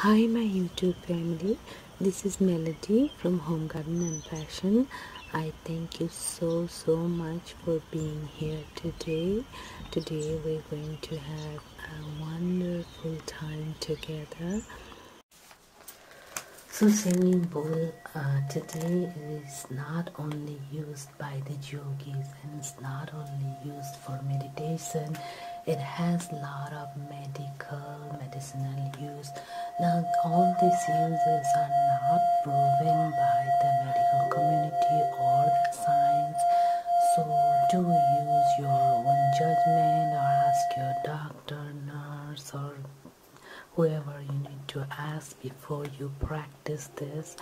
Hi my YouTube family, this is Melody from Home Garden and Passion. I thank you so so much for being here today. Today we're going to have a wonderful time together. So singing bowl uh, today is not only used by the yogis and it's not only used for meditation it has a lot of medical medicinal use now all these uses are not proven by the medical community or the science so do use your own judgment or ask your doctor nurse or whoever you need to ask before you practice this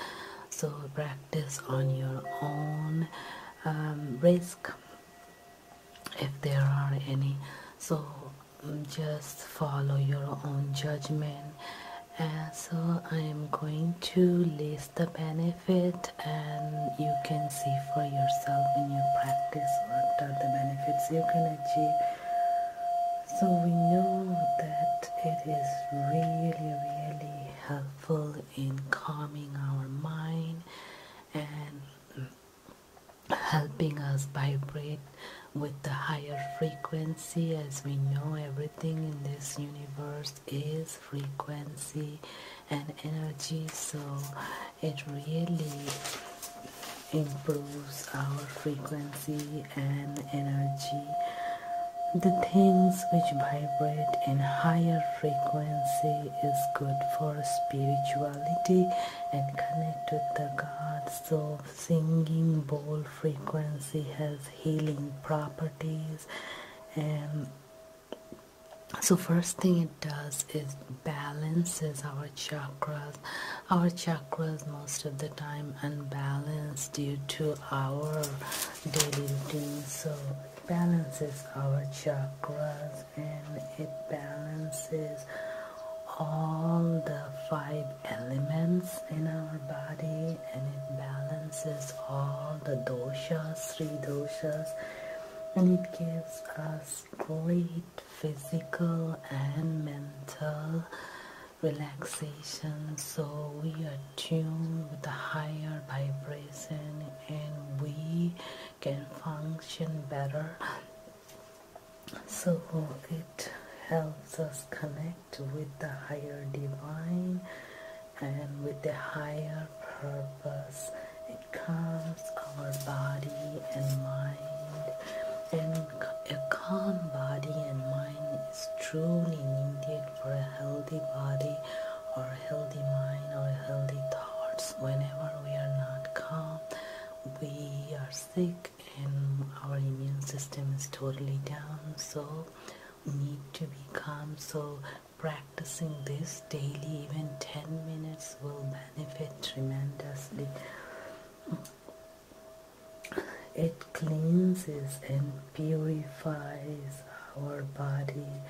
so practice on your own um, risk if there are any so mm, just follow your own judgment and so I am going to list the benefit and you can see for yourself in your practice what are the benefits you can achieve so we know that it is really really helpful in calming our mind and helping us vibrate with the higher frequency as we know everything in this universe is frequency and energy so it really improves our frequency and energy the things which vibrate in higher frequency is good for spirituality and connect with the gods. So singing bowl frequency has healing properties and so first thing it does is balances our chakras. Our chakras most of the time unbalanced due to our daily routine so it balances our chakras and it balances all the five elements in our body and it balances all the doshas, three doshas and it gives us great physical and mental relaxation so we are tuned with a higher vibration and we can function better so it helps us connect with the higher divine and with the higher purpose it calms our body and mind and a calm body and mind is truly needed for a healthy body or a healthy mind or healthy thoughts. Whenever we are not calm, we are sick and our immune system is totally down. So need to be calm. So practicing this daily, even 10 minutes will benefit tremendously. It cleanses and purifies our body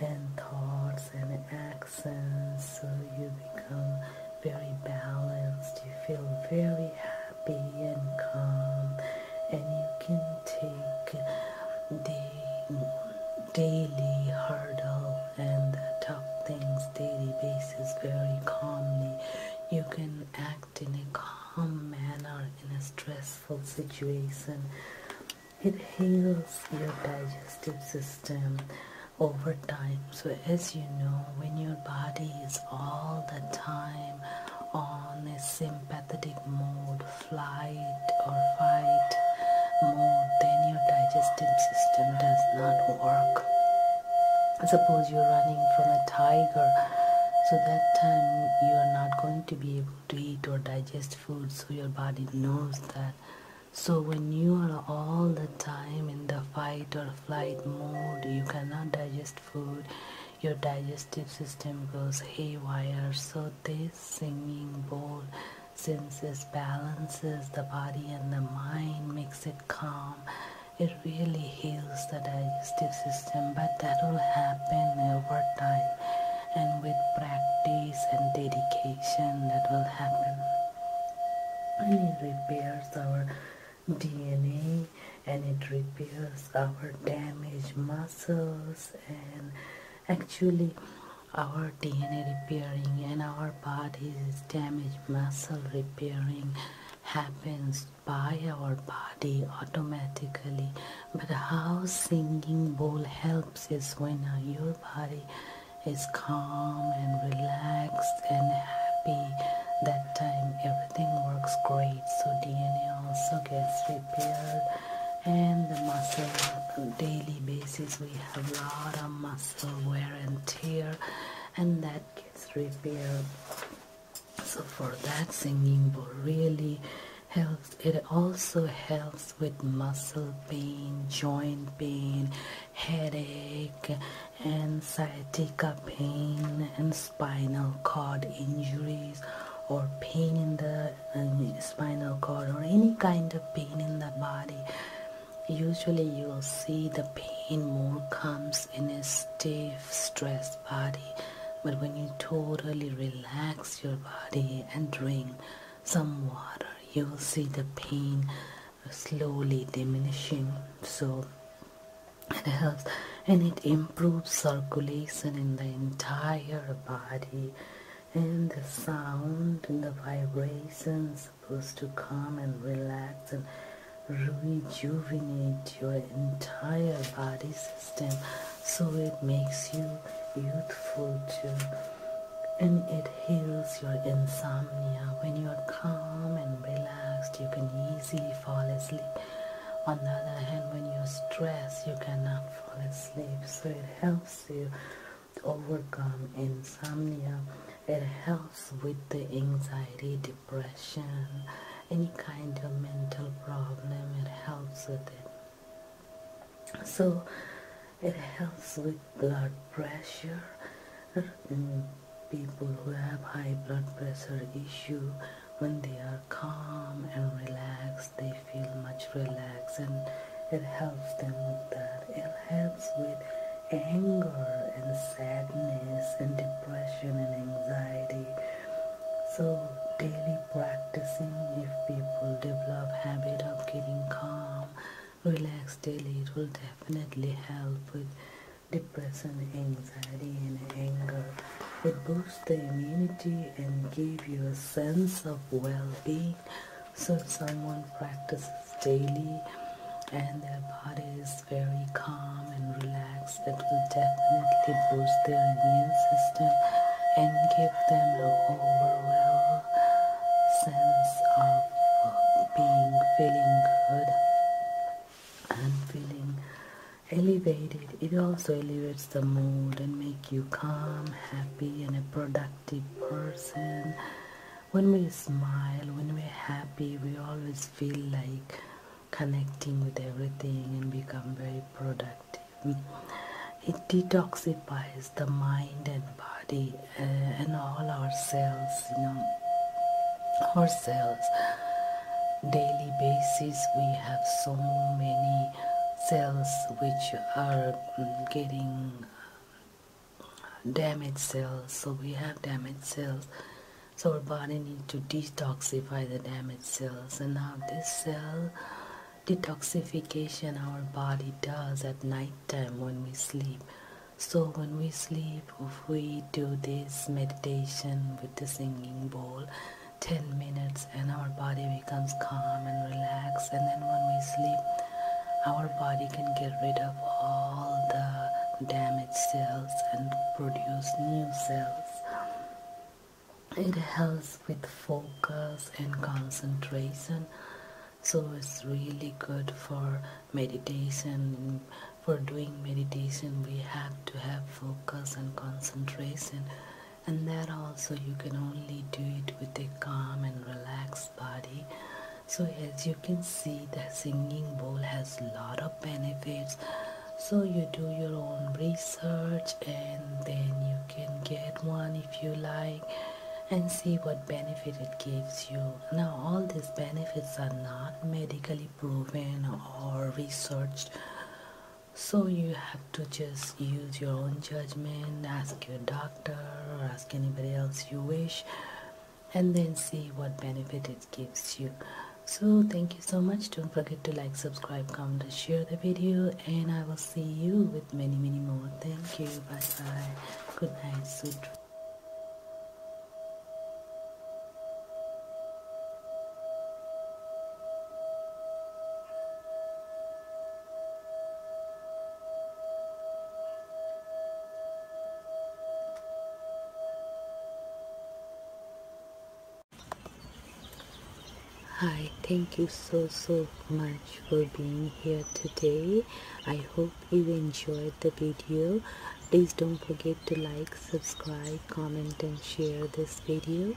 and thoughts and actions so you become very balanced. You feel very happy and calm and you can take the daily hurdle and the tough things daily basis very calmly. You can act in a calm calm manner in a stressful situation. It heals your digestive system over time. So, as you know, when your body is all the time on a sympathetic mode, flight or fight mode, then your digestive system does not work Suppose you're running from a tiger, so that time you are not going to be able to eat or digest food, so your body knows that. So when you are all the time in the fight or flight mode, you cannot digest food, your digestive system goes haywire. So this singing bowl senses balances the body and the mind, makes it calm it really heals the digestive system but that will happen over time and with practice and dedication that will happen and it repairs our DNA and it repairs our damaged muscles and actually our DNA repairing and our body's damaged muscle repairing happens by our body automatically but how singing bowl helps is when your body is calm and relaxed and happy that time everything works great so dna also gets repaired and the muscle daily basis we have a lot of muscle wear and tear and that gets repaired so for that singing bowl really helps it also helps with muscle pain joint pain headache and sciatica pain and spinal cord injuries or pain in the uh, spinal cord or any kind of pain in the body usually you will see the pain more comes in a stiff stressed body but when you totally relax your body and drink some water you will see the pain slowly diminishing so it helps and it improves circulation in the entire body and the sound and the vibrations supposed to calm and relax and rejuvenate your entire body system so it makes you youthful too and it heals your insomnia when you are calm and relaxed you can easily fall asleep on the other hand when you're stressed you cannot fall asleep so it helps you to overcome insomnia it helps with the anxiety, depression, any kind of mental problem. It helps with it. So it helps with blood pressure. Mm, people who have high blood pressure issue, when they are calm and relaxed, they feel much relaxed and it helps them with that. It helps with anger and sadness and depression and anxiety. So daily practicing if people develop habit of getting calm, relax daily, it will definitely help with depression, anxiety and anger. It boosts the immunity and give you a sense of well-being so if someone practices daily and their body is very calm and relaxed, it will definitely boost their immune system and give them an overall sense of being, feeling good and feeling elevated. It also elevates the mood and make you calm, happy and a productive person when we smile when we're happy we always feel like connecting with everything and become very productive it detoxifies the mind and body uh, and all our cells you know our cells daily basis we have so many cells which are mm, getting damaged cells so we have damaged cells so our body needs to detoxify the damaged cells and now this cell detoxification our body does at night time when we sleep so when we sleep if we do this meditation with the singing bowl 10 minutes and our body becomes calm and relaxed and then when we sleep our body can get rid of all the damaged cells and produce new cells. It helps with focus and concentration, so it's really good for meditation. For doing meditation, we have to have focus and concentration, and that also you can only do it with a calm and relaxed body so as you can see the singing bowl has a lot of benefits so you do your own research and then you can get one if you like and see what benefit it gives you now all these benefits are not medically proven or researched so you have to just use your own judgment ask your doctor or ask anybody else you wish and then see what benefit it gives you so thank you so much don't forget to like subscribe comment share the video and i will see you with many many more thank you bye bye good night sweet Hi, thank you so so much for being here today. I hope you enjoyed the video. Please don't forget to like, subscribe, comment and share this video.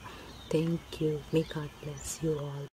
Thank you. May God bless you all.